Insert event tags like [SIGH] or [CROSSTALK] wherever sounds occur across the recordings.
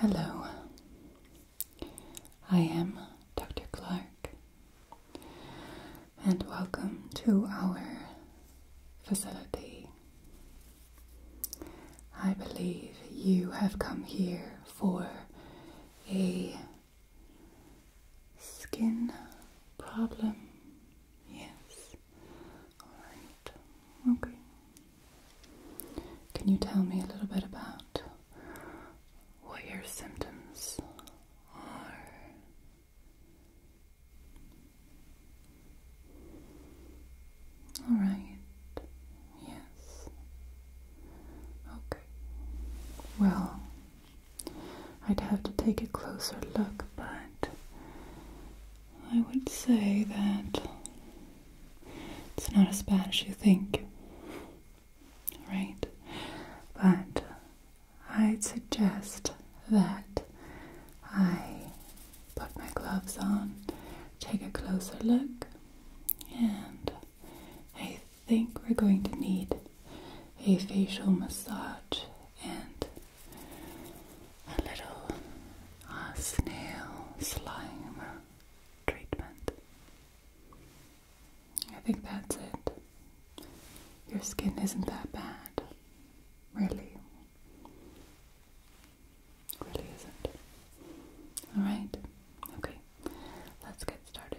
Hello, I am Dr. Clark, and welcome to our facility. I believe you have come here for a skin problem, yes. Alright, okay. Can you tell me a little bit about what your symptoms are? Alright, yes. Okay. Well, I'd have to take a closer look, but I would say that it's not as bad as you think, right? But I'd suggest that I put my gloves on, take a closer look, and I think we're going to need a facial massage and a little snail slime treatment. I think that's it. Your skin isn't that bad, really. Really isn't. Alright? Okay, let's get started.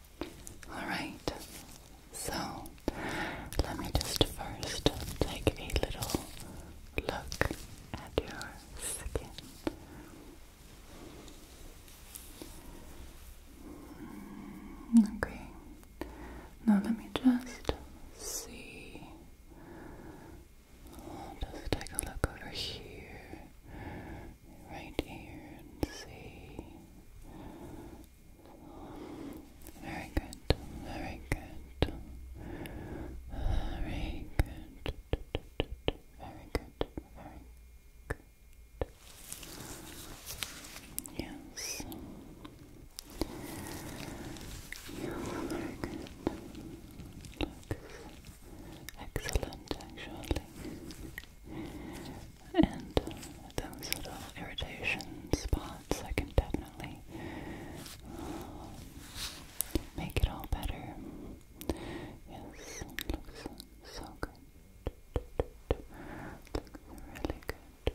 Alright, so let me just first take a little look at your skin. Mm, okay, now let me just see. just take a look over here, right here, and see. Very good. Very good. Very good. Very good. Very good. Yes. very good. excellent actually and those little irritation spots, I can definitely um, make it all better. Yes, looks so good. Looks really good,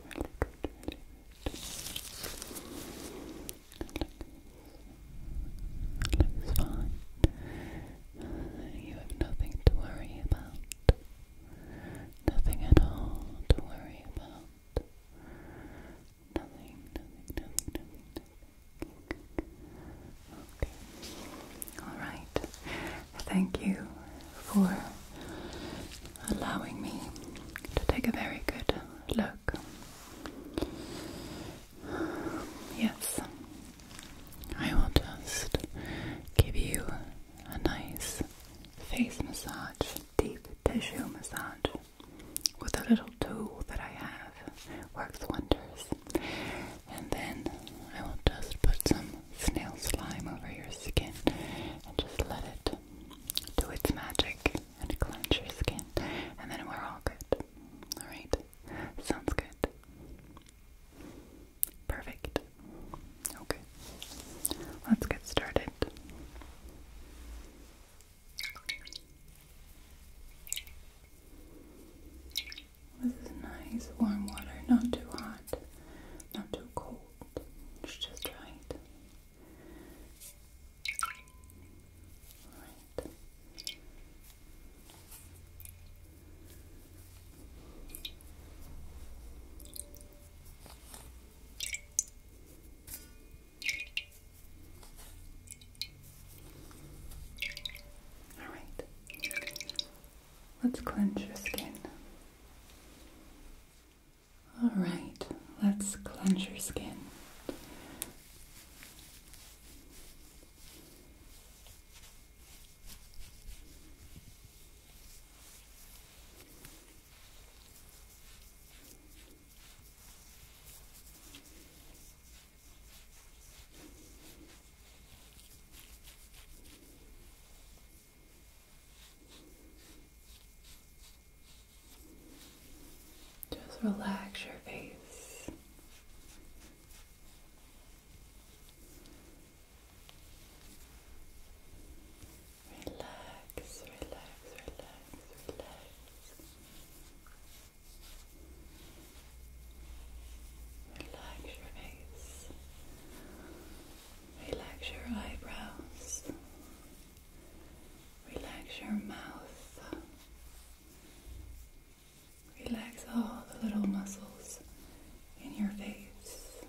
looks fine. You have nothing to worry about. Nothing at all to worry about. Nothing, nothing, nothing, nothing, Okay. Alright. Thank you for allowing me to take a very good look. Yes, I will just give you a nice face massage, deep tissue massage with a little tool that I have. Works wonders. And then I will just put some snail slime over your skin and just let it do its magic and cleanse your skin. And then we're all good. Alright? Sounds good. Perfect. Okay, let's get started. This is nice warm water, not too hot, not too cold. just right. Right. All right. Let's cleanse your skin. All right. Let's cleanse your skin. Just relax your face. Relax, relax, relax, relax. Relax your face. Relax your eyebrows. Relax your mouth. Relax all the little muscles in your face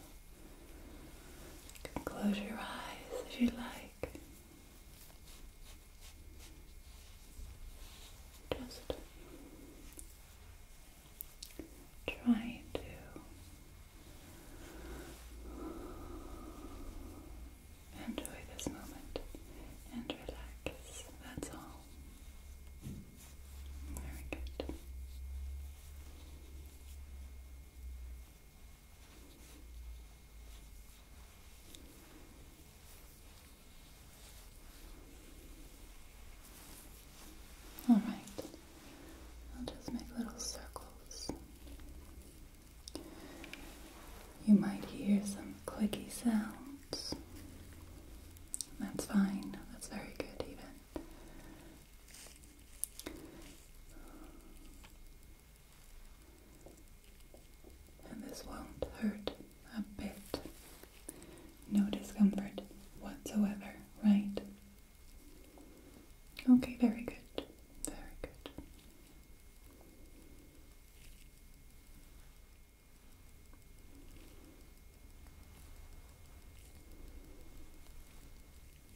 close your eyes if you like. Just trying to enjoy this moment and relax. That's all. Very good. All right, I'll just make little circles. You might hear some clicky sounds. That's fine, that's very good, even. And this won't hurt a bit. No discomfort whatsoever, right? Okay, very good. Very good.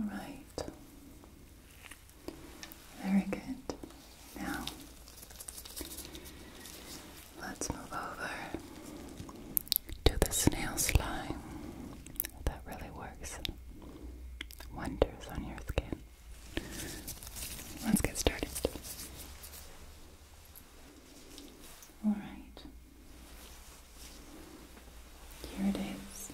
All right. Very good. Now, let's move over to the snail slime. That really works wonders on your skin. Let's get started. Alright. Here it is.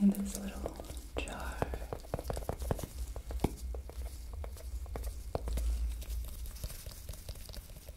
In this little jar.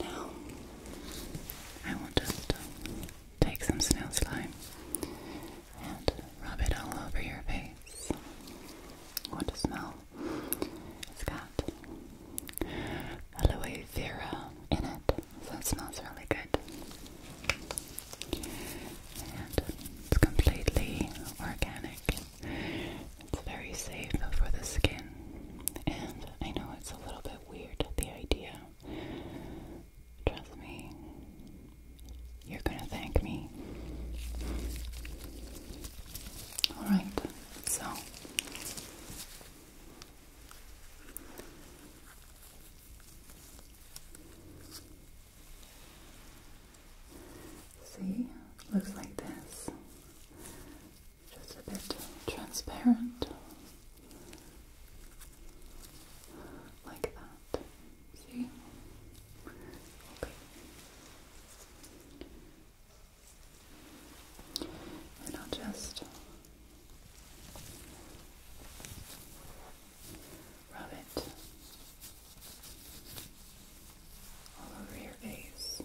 Now, I will just um, take some snail slime and rub it all over your face. What a smell! It's got aloe vera in it, so it smells really good. And it's completely organic. It's very safe for the skin, and I know it's a little bit weird, the idea. Trust me, you're gonna thank me. Alright, so see, looks like this. Just a bit transparent, like that. See? Okay. And I'll just rub it all over your face.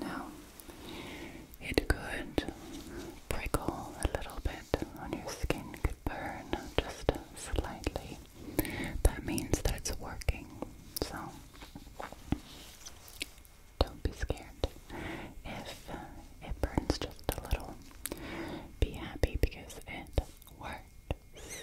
Now, it could prickle a little bit on your skin could burn just slightly. That means that it's working. So don't be scared if it burns just a little. Be happy because it works.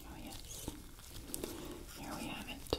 Oh, yes, here we have it.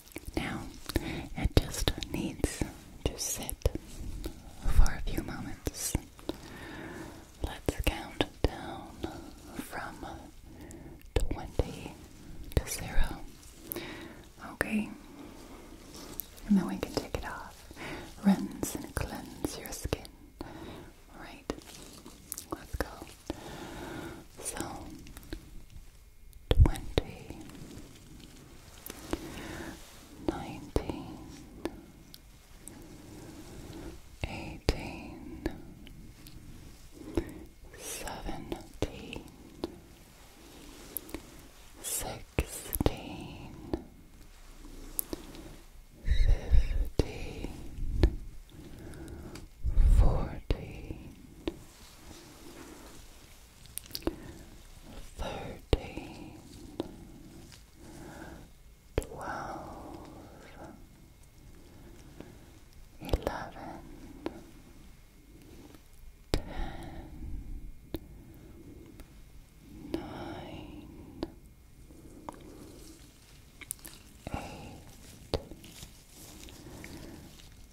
Now it just needs to sit for a few moments. Let's count down from 20 to 0. Okay? And then we can take it off. Rinse and cleanse your skin. Alright, let's go. So, twenty, nineteen, eighteen, seventeen, sixteen, fifteen, fourteen thirteen, twelve, eleven, ten, nine, eight.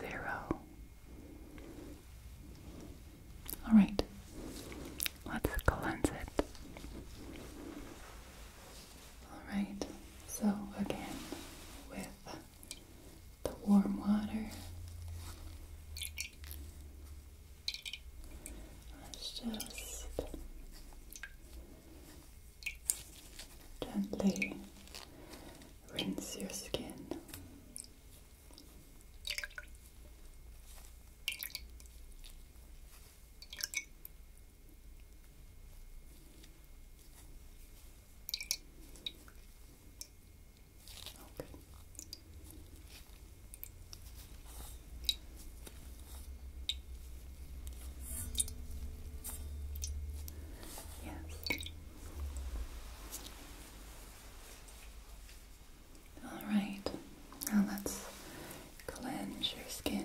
zero. All right, let's cleanse it. All right, so again with the warm water, let's just gently rinse your skin. Okay. Yes, Alright, now let's cleanse your skin.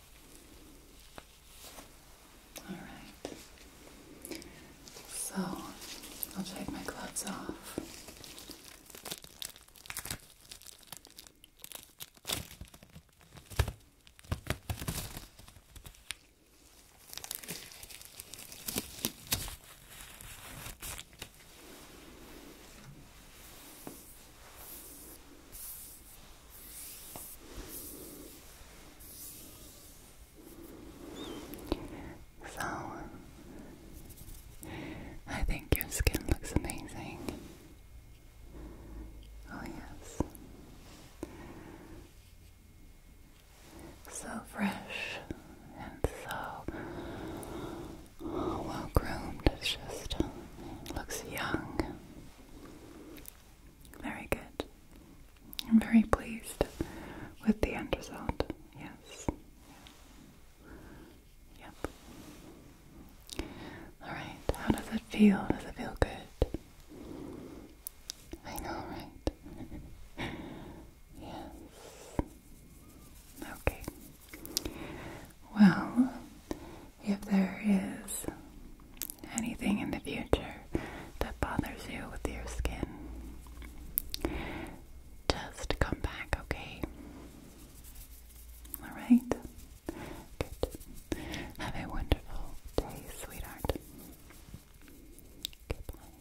All right. So I'll take my gloves off. So, I think your skin looks amazing. Oh, yes. So fresh and so well groomed. It just looks young. Very good. I'm very pleased with the end result. Yes. Yep. Alright, how does it feel? Does it feel good? I know, right? [LAUGHS] yes. Okay. Well, if there is anything in the future that bothers you with your skin, just come back, okay? Alright? Good. Have a wonderful day, sweetheart. Goodbye.